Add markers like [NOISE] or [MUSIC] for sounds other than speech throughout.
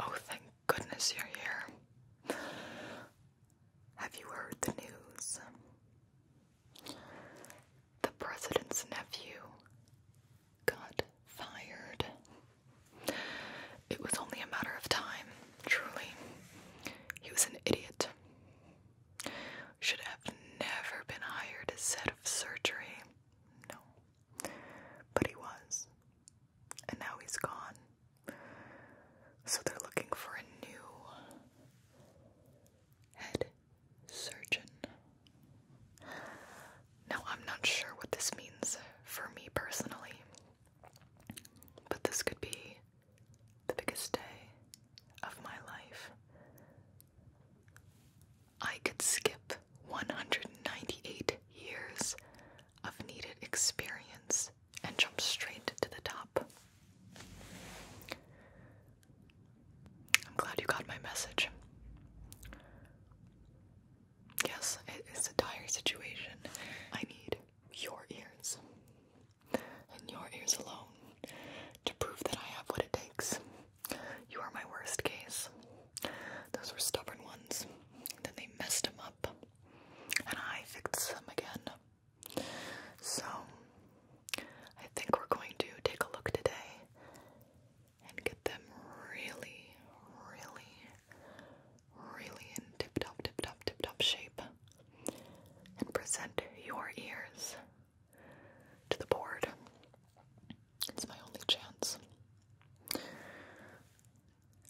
Oh, thank goodness you're here. Have you heard the news? The president's nephew got fired. It was only a matter of time, truly. He was an idiot. Should have never been hired as of surgery. No. But he was. And now he's gone. So they're looking for a new head surgeon. Now, I'm not sure what this means for me personally, but this could be the biggest day of my life. I could skip 198 years of needed experience and jump straight to the top. I'm glad you got my message. Yes, it's a dire situation. I need your ears, and your ears alone, to prove that I have what it takes. You are my worst case. Those were stubborn ones. Then they messed them up. And I fixed them again. So, I think we're going to take a look today and get them really, really, really in tip top, tip top, tip top shape and present your ears to the board it's my only chance.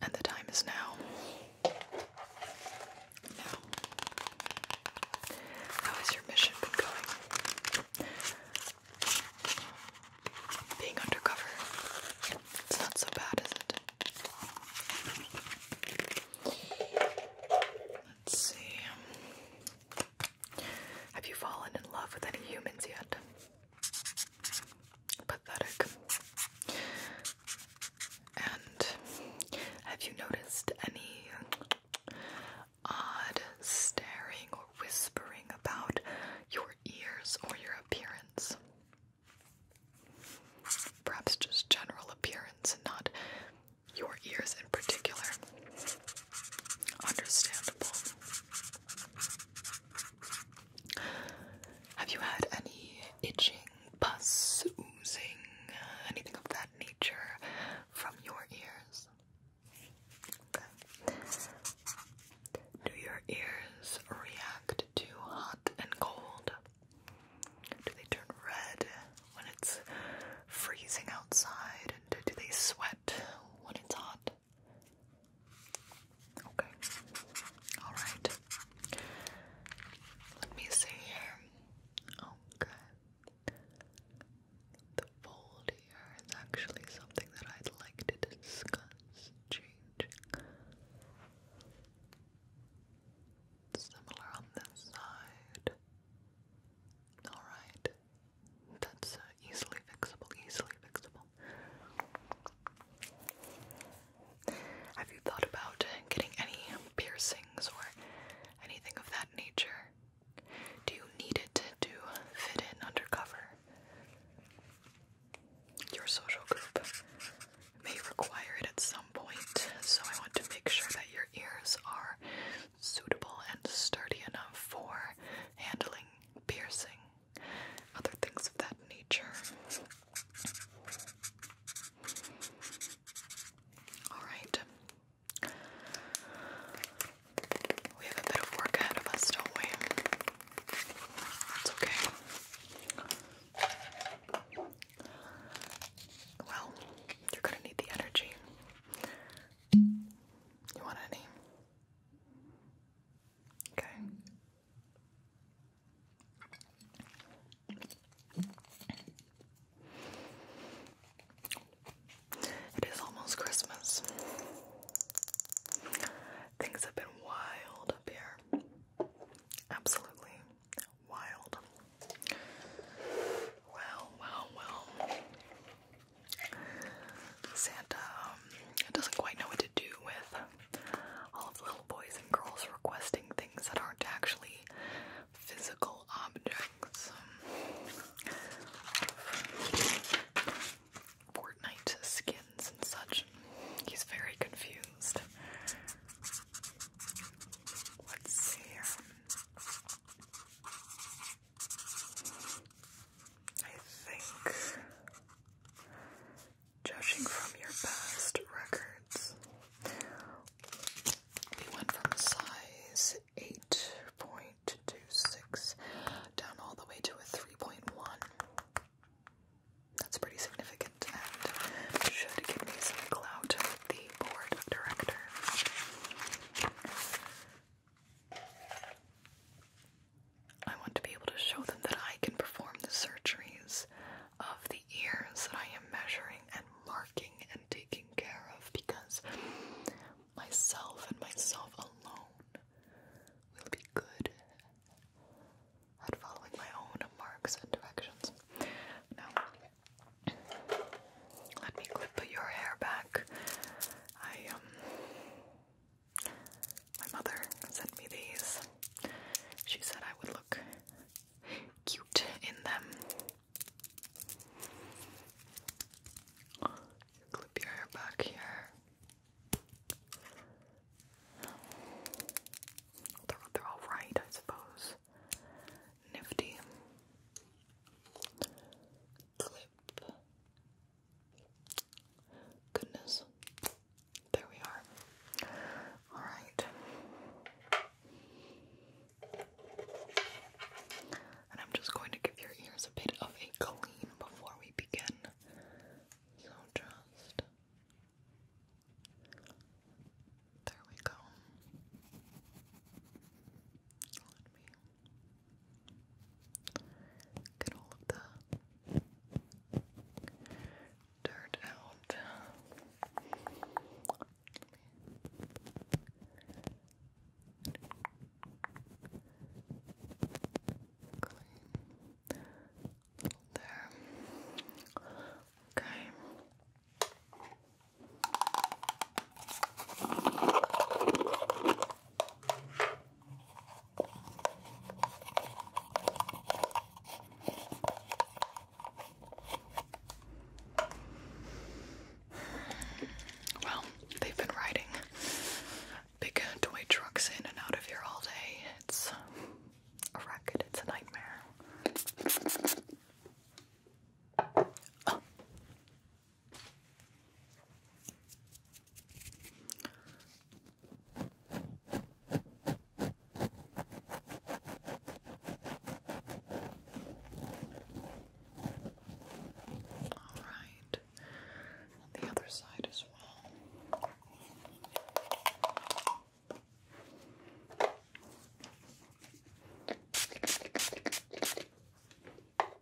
And the time is now. Now. your mission going? Being undercover. It's not so bad, is it? Let's see. Have you fallen in love with any humans yet? Pathetic. And have you noticed any odd staring or whispering about your ears or your appearance? Perhaps just general appearance and not your ears in particular. Understandable. Have you had any itching, pus, oozing, uh, anything of that nature from your ears? Do your ears react to hot and cold? Do they turn red when it's freezing outside? And do they sweat when it's hot? Okay. All right. Let me see here. Okay. Oh, the fold here is actually something that I'd like to discuss. Changing. Similar on this side. Alright. That's uh, easily fixable, easily fixable. Have you thought about getting any piercings or anything of that nature? Do you need it to fit in undercover? Your social group may require it at some point, so I want to make sure that your ears are suitable and sturdy enough for handling piercing, other things of that nature. Alright. We have a bit of work ahead of us, don't we? That's okay. Well, you're gonna need the energy. You want any? Okay. It is almost Christmas. Things have been wild up here. Absolutely wild. Well, well, well. Santa um, doesn't quite know what to do with all of the little boys and girls requesting things that aren't actually physical objects. Um, Fortnite skins and such. He's very confused. Let's see here. I think, judging from your past records, we went from size 8.26 down all the way to a 3.1. That's pretty significant and should give me some clout with the board of directors. I want to be able to show them that I can perform the surgeries of the ears that I am measuring and marking and taking care of because myself and myself alone will be good at following my own marks and directions. Now, let me clip your hair back. I um my mother sent me these. She said I would look cute in them. Clip your hair back here. They're, right, I suppose. Nifty. Clip. Goodness. There we are. Alright. And I'm just going to give your ears a bit of a clean before we begin. So just. There we go. Let me Get all of the dirt out. There. Okay. Well, they've been riding big toy trucks in and out of here all day. It's a racket, it's a nightmare. Oh. All right, on the other side as well.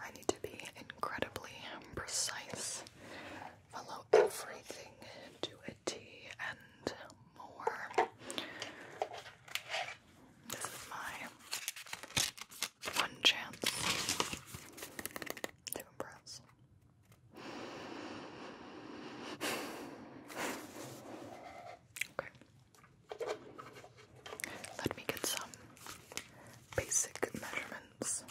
I need to be incredibly precise, follow everything to a T and more. This is my one chance to impress. Okay. Let me get some basic measurements.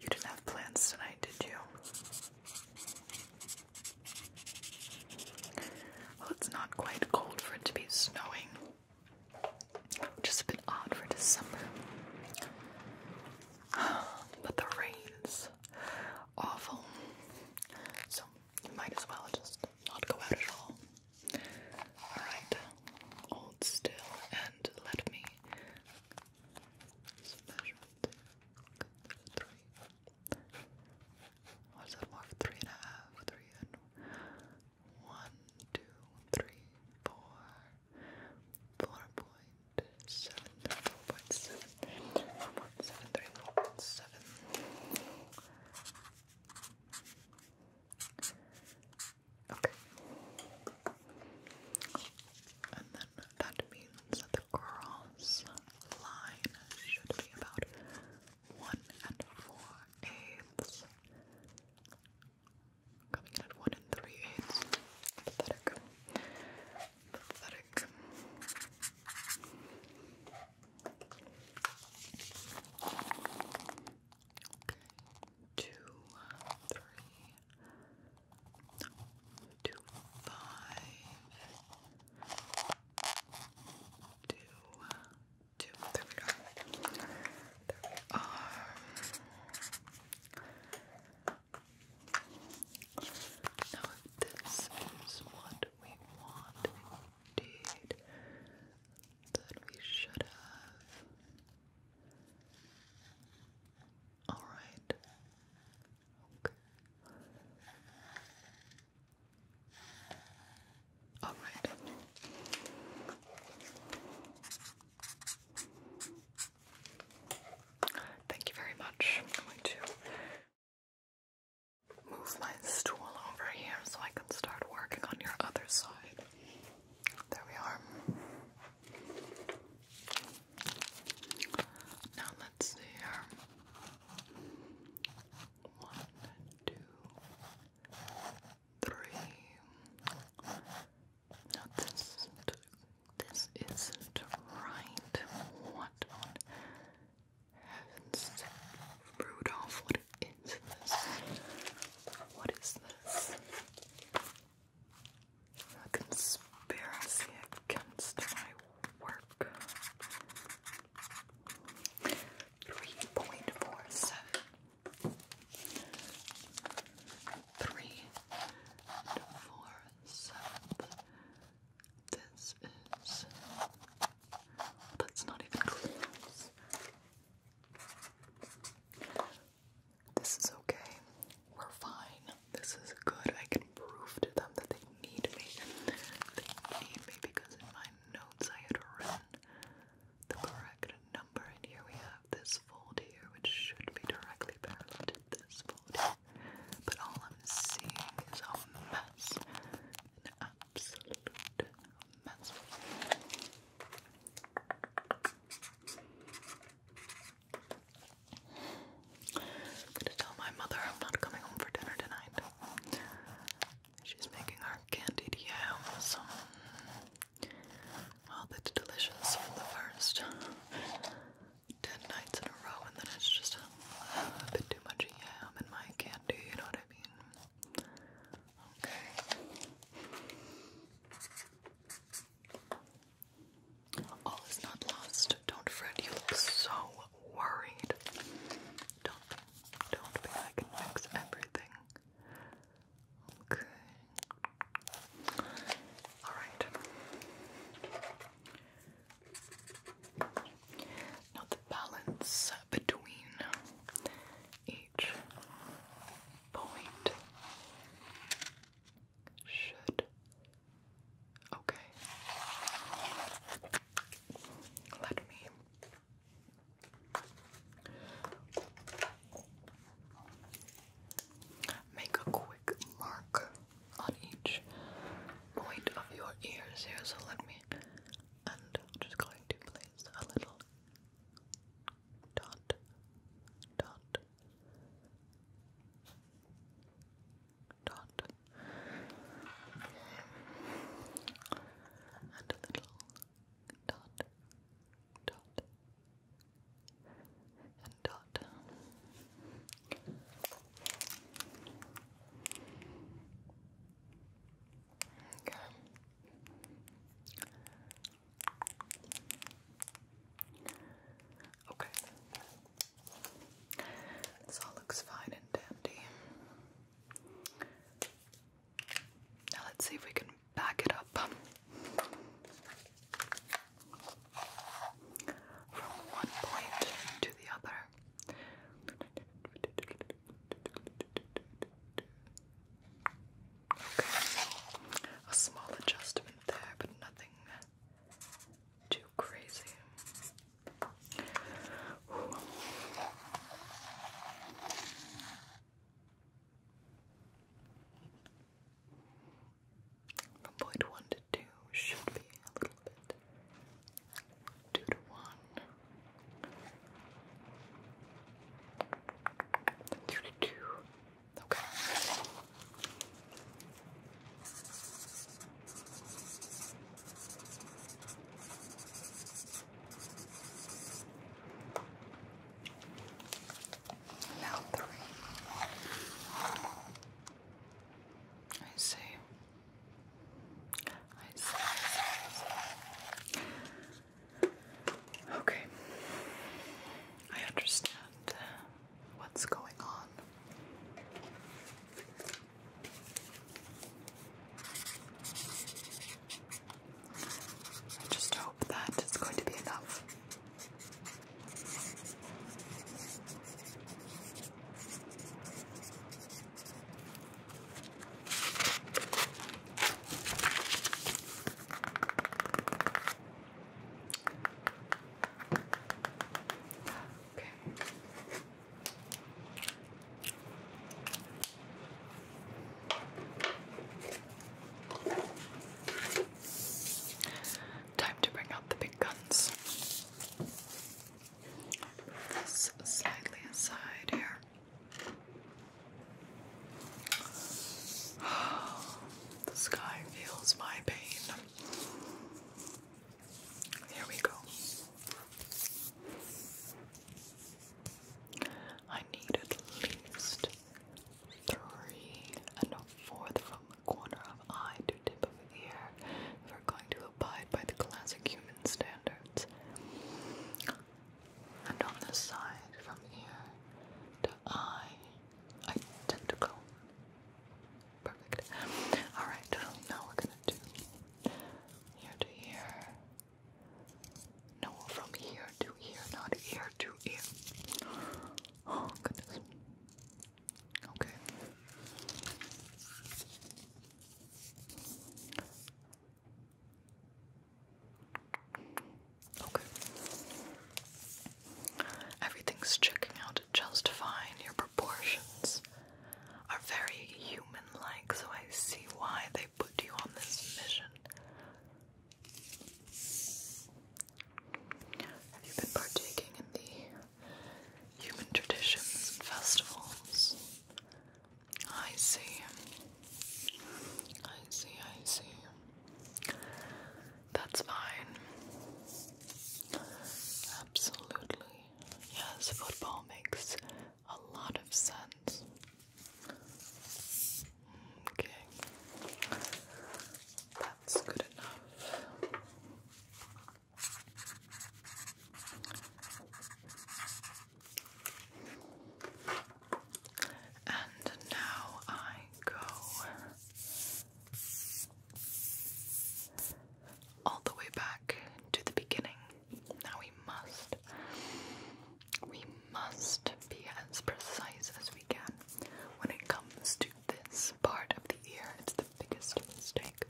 You didn't have plans tonight, did you? Well, it's not quite cold for it to be snowing, which is a bit odd for December. [SIGHS] But the rain's awful. So you might as well just not go out at all. Alright, hold still and let me measure it. Three. What's that more? Three and a half, three and one, two, three, four, four point seven, four point seven, four point seven, three point seven. Okay. And then that means the cross line should be about one and four eighths. Coming in at one and three eighths. Pathetic. Pathetic. Okay. Two, three, two, five, two, two. are. Now this is one we want indeed that we should have. All right. Okay. All right. Thank you very much. I'm Move my stool over here so I can start working on your other side. There we are. Now let's see here. One, two, three. Now this isn't, right. What Heavens, Rudolph, what is this? What is this? A conspiracy against my work. 3.47 Three four seven. This is that's not even close. This is okay. We're fine. This is good. I can prove to them that they need me. They need me because in my notes I had written the correct number, and here we have this fold here, which should be directly parallel to this fold But all I'm seeing is a mess, absolute mess. gonna tell my mother I'm not coming home for dinner tonight. She's making our candied yams. Well, oh, that's delicious for the first ten nights in a row, and then it's just a, bit too much yam in my candy, you know all is not lost. Don't fret. You look so worried. Don't, don't be. I fix everything. Okay. All right. Now the balance between each point should okay. Let me make a quick mark on each point of your ears here. So let me and i just going to place a little dot, dot, dot, and a little dot, dot, and dot. Okay. Okay. This all looks fine and dandy. Now let's see if we can back it up from one point to the other. Okay. A small adjustment there, but nothing too crazy. Ooh. to two should be a little bit Two to one. Three to two. Okay. Now three. I see. I Okay. I understand uh, what's going on. I just hope that it's going to be enough. Time to bring out the big guns slightly aside here. [SIGHS] The sky feels my pain. Here we go. I need at least three and a fourth from the corner of eye to tip of ear we're going to abide by the classic human standards. And on the side from ear to eye, identical. Perfect. Alright, now we're gonna do ear to ear. No, from ear to ear, not ear to ear. Oh, goodness. Okay. Okay. Everything's checking out just fine. Your proportions are very human like, so I see why they put you on this mission. Have you been partaking in the human traditions and festivals? I see. I see, I see. That's fine. Absolutely. Yes, football makes a lot of sense. Okay. That's good enough. And now I go all the way back to the beginning. Now we must, we must be as precise as we can when it comes to this part of the ear the biggest mistake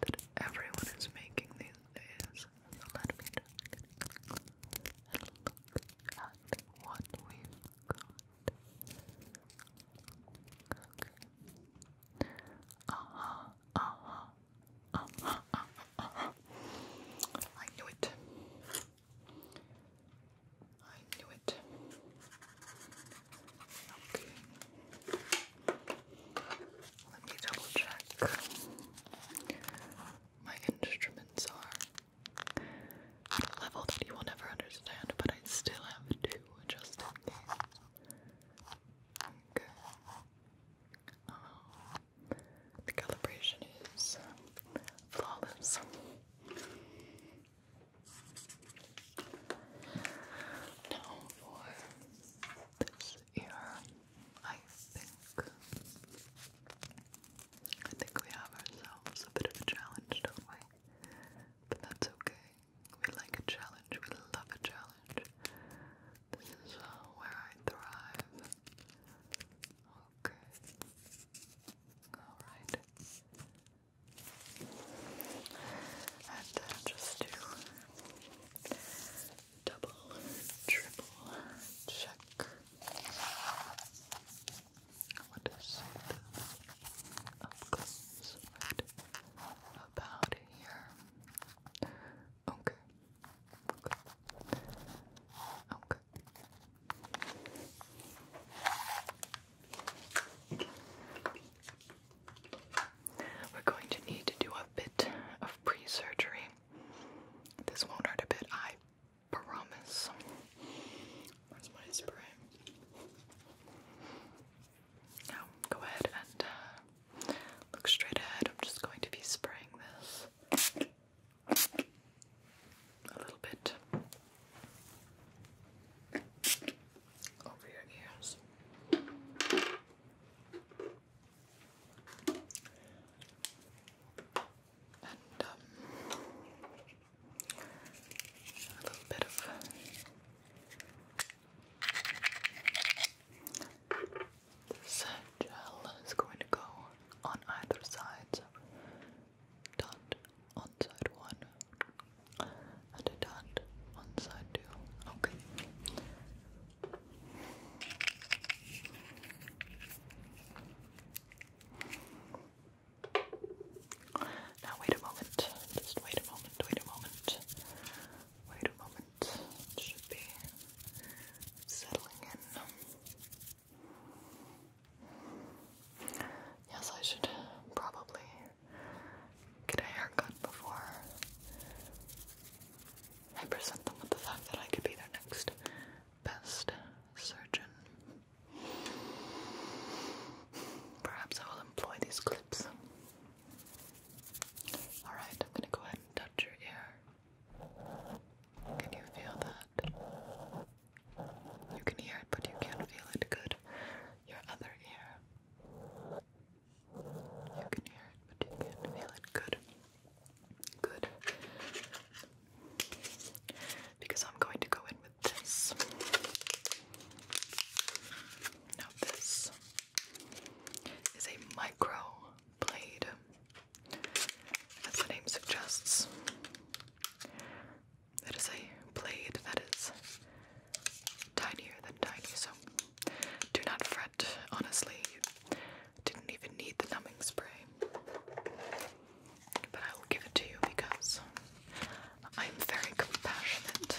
that everyone is making these days. So let at what we've got. Okay. Uh-huh, uh-huh, uh-huh, uh I knew it. I knew it. Okay, let me double check. My instruments are at a level that you will never understand, but I still have two just in um, the calibration is flawless. Now for this ear, I think. I think we have ourselves a bit of a challenge, don't we? But that's okay. We like a challenge, we love a challenge. This is uh, where I thrive. Okay. Alright. And just to double, triple check. What is it up close right about here? Okay. Okay. Okay. We're going to need to do a bit of pre surgery. This won't hurt a bit, I promise. That's my spray. Now, go ahead and uh, look straight ahead. I'm just going to be spraying this a little bit over your ears. And um, a little bit of this gel is going to go on either side. dot on one at a dot on side too. Okay. Now wait a moment. Just wait a moment, wait a moment. Wait a moment. should be settling in. Yes, I should probably get a haircut before I present them with the fact that I could be their next best surgeon. Perhaps I will employ these clips. Alright, I'm gonna go ahead and touch your ear. Can you feel that? You can hear it, but you can't feel it. Good. Your other ear. You can hear it, but you can feel it. Good. Good. Because I'm going to go in with this. Now, this is a micro blade, as the name suggests. It is a blade that is tinier than tiny, so do not fret. Honestly, you didn't even need the numbing spray. But I will give it to you because I am very compassionate.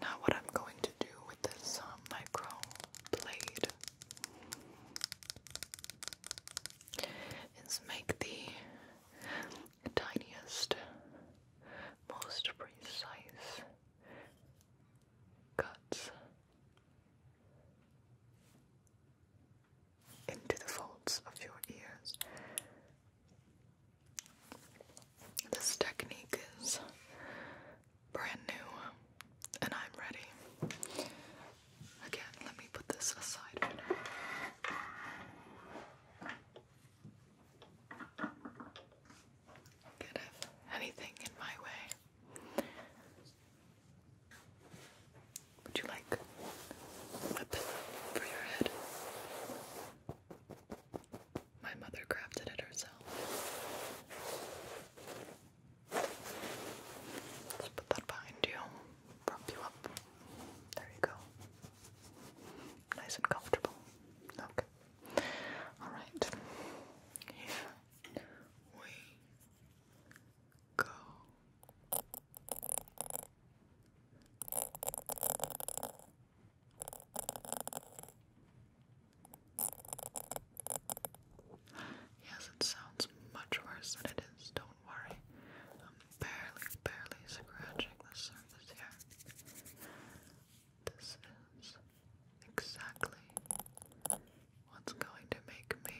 Now, what I'm going to do with this um, micro blade is make the tiniest, most precise cuts into the folds of your ears. This technique is brand new and I'm ready. Again, let me put this aside for now. anything in my way. Would you like a pillow for your head? My mother crafted it herself. Let's put that behind you. Prop you up. There you go. Nice and comfortable. Okay. Alright. Here we go. Yes, it sounds much worse than it is, don't worry. I'm barely, barely scratching the surface here. This is exactly what's going to make me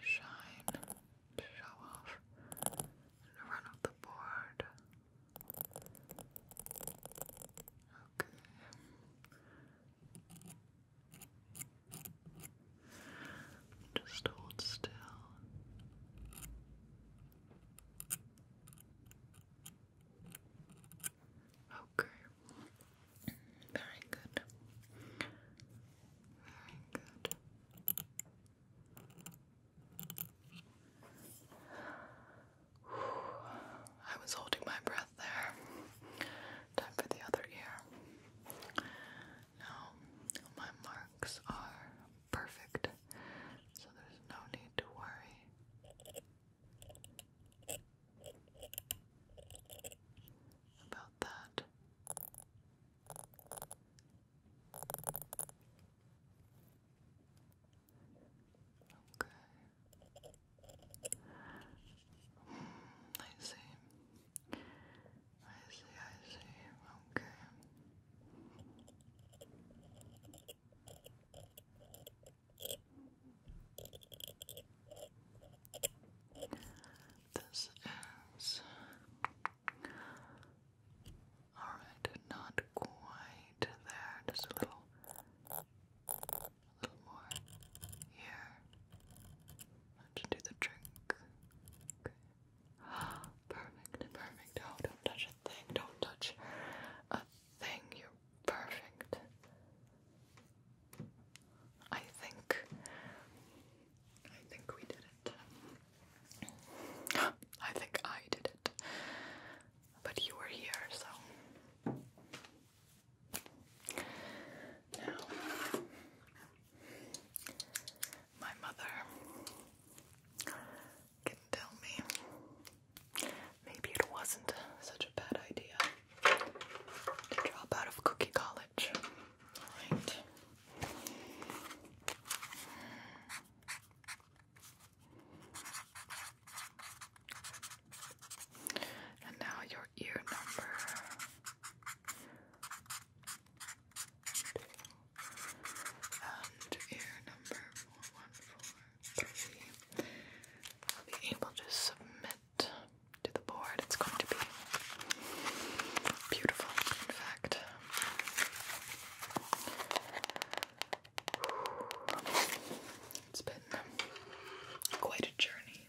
shine, show off, run up the board. Okay. Just hold still. Okay. Very good. Very good. I was holding my breath there. Time for the other ear. Now, my marks are perfect, so there's no need to worry about that. Okay. Mm, I see. I see, I see. Okay. This is Alright, not quite there, just a little a little more here. That do the trick. Okay. [GASPS] Perfect, perfect. Oh, don't touch a thing, don't touch a thing, you're perfect. I think I think we did it. [GASPS] I think I did it. But you were here, so. Now, my mother can tell me maybe it wasn't such a bad idea to drop out of Cookie College. All right. And now your ear number. And ear number 4143 will be able to submit to the board. It's going to be Beautiful, in fact. It's been quite a journey.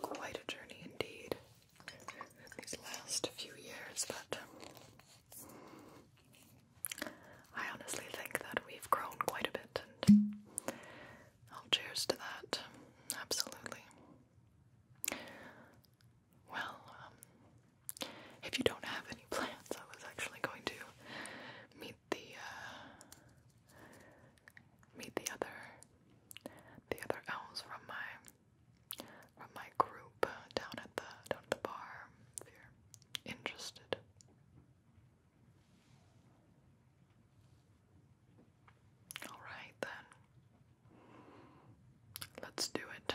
Quite a journey indeed. These last few years, but um, I honestly think that we've grown quite a bit, and cheers to that. Absolutely. Well, um, if you don't have any plans, I was actually going to meet the uh, meet the other the other elves from my from my group uh, down at the down at the bar. interested. All right, then. Let's do it.